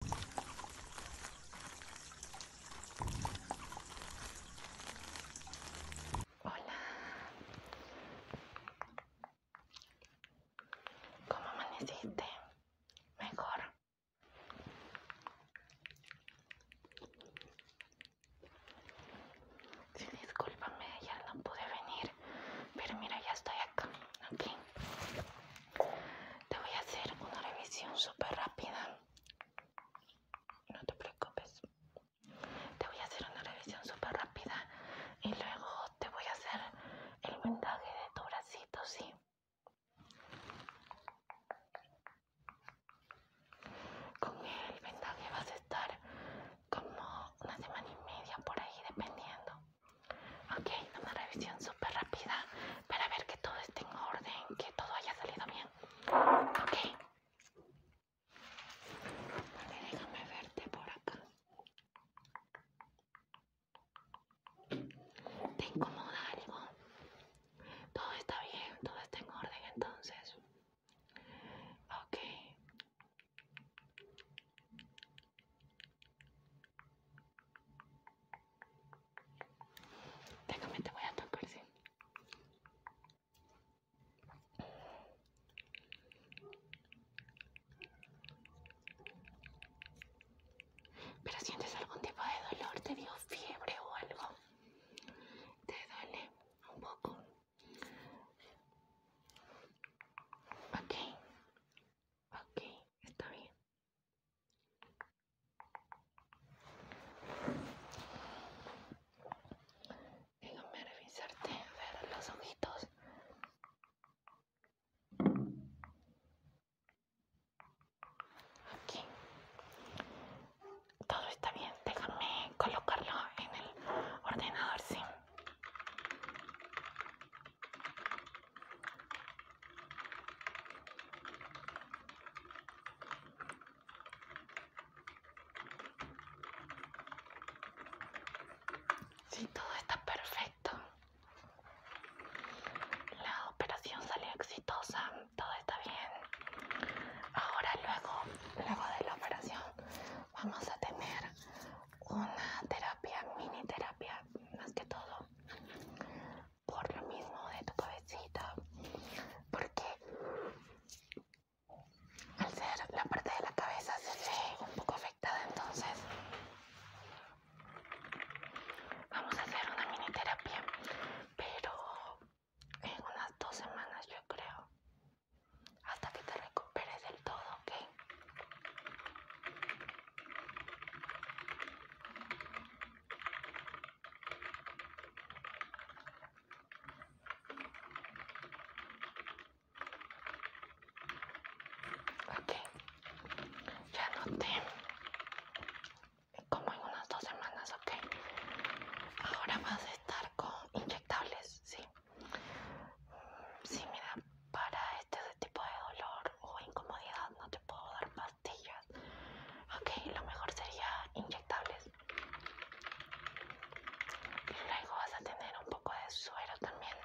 Hola. ¿Cómo amaneciste? Mejor. si discúlpame, ya no pude venir, pero mira, ya estoy acá, aquí. Te voy a hacer una revisión súper rápida. No te preocupes. Te voy a hacer una revisión súper rápida y luego te voy a hacer el vendaje de tu bracito, ¿sí? Con el vendaje vas a estar como una semana y media por ahí, dependiendo. Ok, una revisión súper rápida para ver que todo esté en orden, que todo haya salido bien. Ok. déjame verte por acá. ¿Te incomoda algo? Todo está bien, todo está en orden entonces. Ok. Déjame, te voy a tocar, Pero sientes algún tipo de dolor, te dio fiebre o algo. Te duele un poco. Ok, Ok, está bien. Déjame revisarte, ver los ojitos. Aquí. Todo está bien. Déjame colocarlo en el ordenador, sí. Si sí, todo está perfecto, la operación salió exitosa, todo está bien. Ahora luego, luego de la operación, vamos a tener una terapia, mini terapia, más que todo por lo mismo de tu cabecita, porque al ser la parte de la cabeza se ve un poco afectada, entonces vamos a hacer una mini terapia, pero en unas dos semanas yo creo, hasta que te recuperes del todo, ¿ok? Ok, ya noté como en unas dos semanas, ok. Ahora vas a estar con inyectables, sí. Si mira, para este tipo de dolor o incomodidad no te puedo dar pastillas. Ok, lo mejor sería inyectables. Y luego vas a tener un poco de suero también.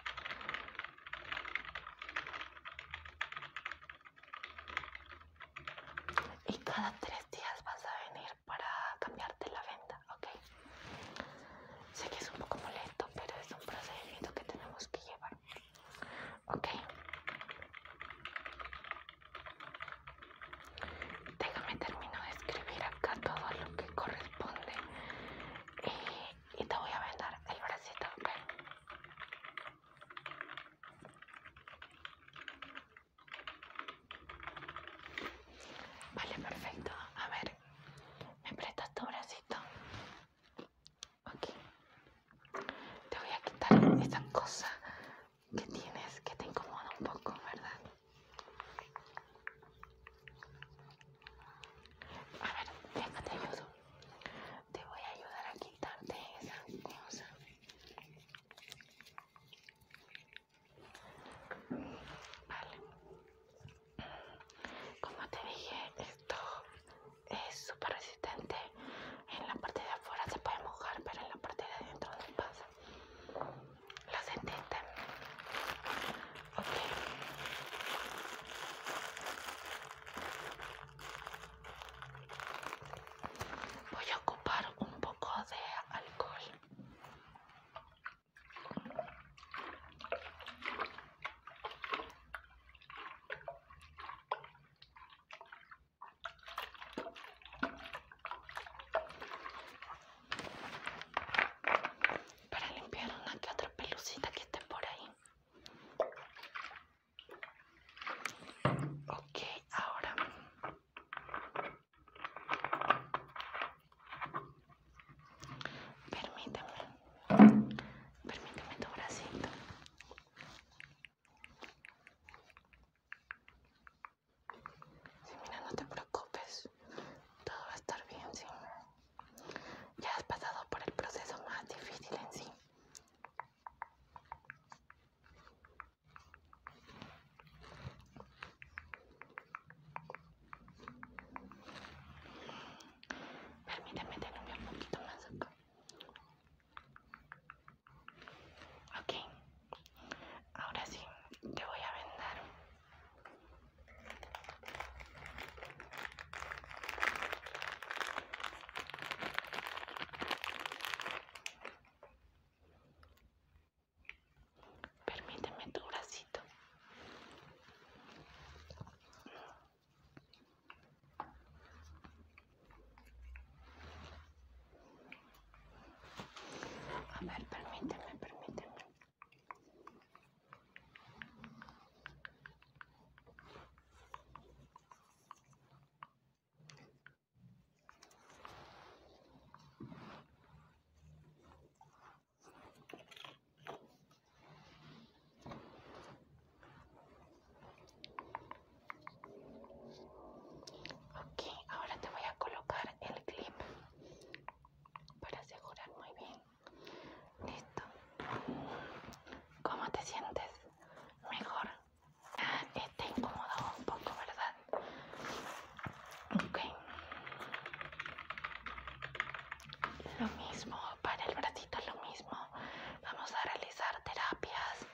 Y cada tres días vas a venir para cambiarte la venda, ¿ok? Sé que es un poco molesto, pero es un procedimiento que tenemos que llevar. Ok. Déjame terminar de escribir acá todo lo que corresponde y, te voy a vender el bracito, ok. Vale, perfecto. A ver, ¿Me prestas tu bracito? Ok. Te voy a quitar esa cosa que tienes que te incomoda un poco, ¿verdad? A ver, déjate ayudo. Te voy a ayudar a quitarte esa cosa. Como te dije, esto es súper resistente. En la parte de afuera se puede mojar, pero en la parte de adentro no pasa. ¿Lo sentiste? Ok. Voy a ocupar un poco de alcohol para limpiar una que otra pelucita que esté por ahí ok ahora Permítame, permítame tu bracito. Sí, mira, no te preocupes, todo va a estar bien, sí. Ya has pasado por el proceso más difícil en sí. Permíteme tenerme un poquito más acá. Ok, ahora sí, te voy a vendar. Permíteme tu bracito. A ver, permíteme, permíteme. Ok, ahora te voy a colocar el clip para asegurar muy bien. Listo. ¿Cómo te sientes? Mejor. Ah, está incómodo un poco, ¿verdad? lo mismo para el bracito lo mismo vamos a realizar terapias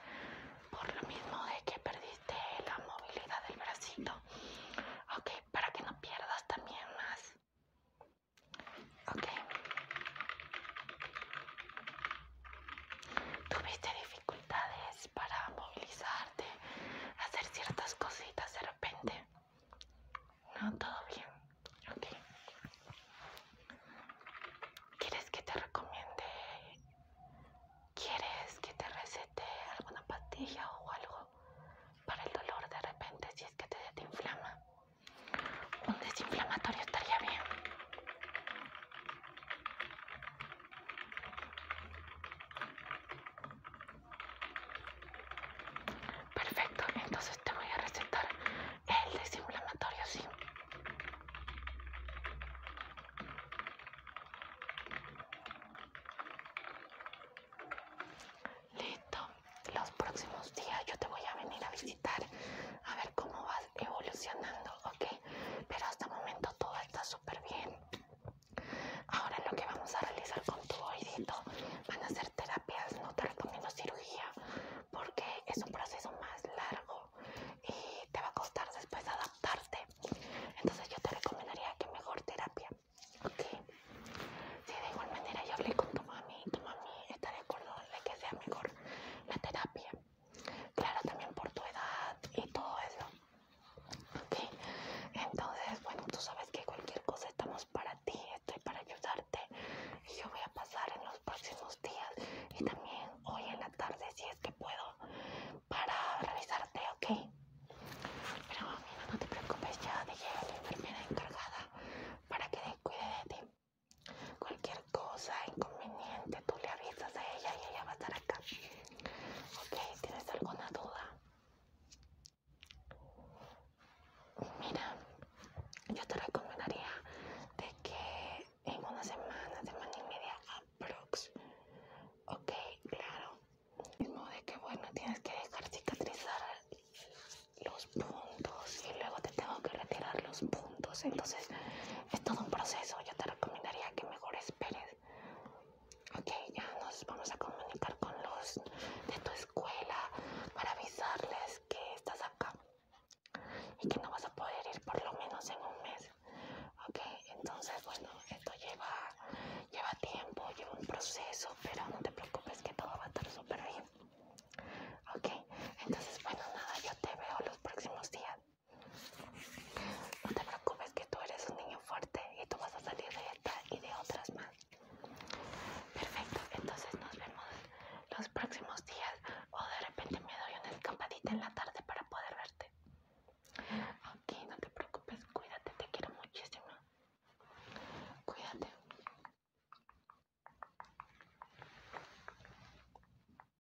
por lo mismo de que perdiste la movilidad del bracito ok para que no pierdas también más ok tuviste dificultades para movilizarte, hacer ciertas cositas de repente. No, todo bien. Ok. ¿Quieres que te recomiende? ¿Quieres que te recete alguna pastilla o algo para el dolor de repente si es que te, te inflama? Un desinflamatorio estaría bien. Perfecto, entonces te voy a recetar el desinflamatorio, sí. Listo, los próximos días yo te voy a venir a visitar a ver cómo vas evolucionando, ¿ok? Pero hasta el momento todo está súper bien. Ahora lo que vamos a realizar con tu oídito van a ser terapias, no te recomiendo cirugía porque es un proceso más largo y te va a costar después adaptarte. Entonces yo te recomendaría que mejor terapia. Ok. Sí, de igual manera yo hablé con tu mami, tu mami está de acuerdo de que sea mejor la terapia claro, también por tu edad y todo eso. entonces, bueno, tú sabes que cualquier cosa estamos para ti, estoy para ayudarte. yo voy a pasar en los próximos días y también hoy en la tarde, si es que puedo, para revisarte, ok. Pero mamá, no te preocupes, ya deje a la enfermera encargada para que te cuide de ti. Cualquier cosa, inconveniente, tú le avisas a ella y ella va a estar acá. Ok, ¿tienes alguna duda? Mira, yo te recomendaría de que en una semana, semana y media aprox, ok, claro, de que bueno, tienes que dejar cicatrizar los puntos y luego te tengo que retirar los puntos, entonces es todo un proceso, yo te recomendaría que me mejor esperes. Ok, ya nos vamos a comunicar con los de tu escuela para avisarles que estás acá y que no vas a poder ir por lo menos en un mes. Ok, entonces bueno, esto lleva, lleva tiempo, lleva un proceso, pero no te preocupes que todo va a estar súper bien. Ok, entonces bueno, nada, yo te veo los próximos días. No te preocupes que tú eres un niño fuerte y tú vas a salir de esta y de otras más. Perfecto, entonces nos vemos los próximos días o de repente me doy una escapadita en la tarde para poder verte. Ok, no te preocupes, cuídate, te quiero muchísimo. Cuídate.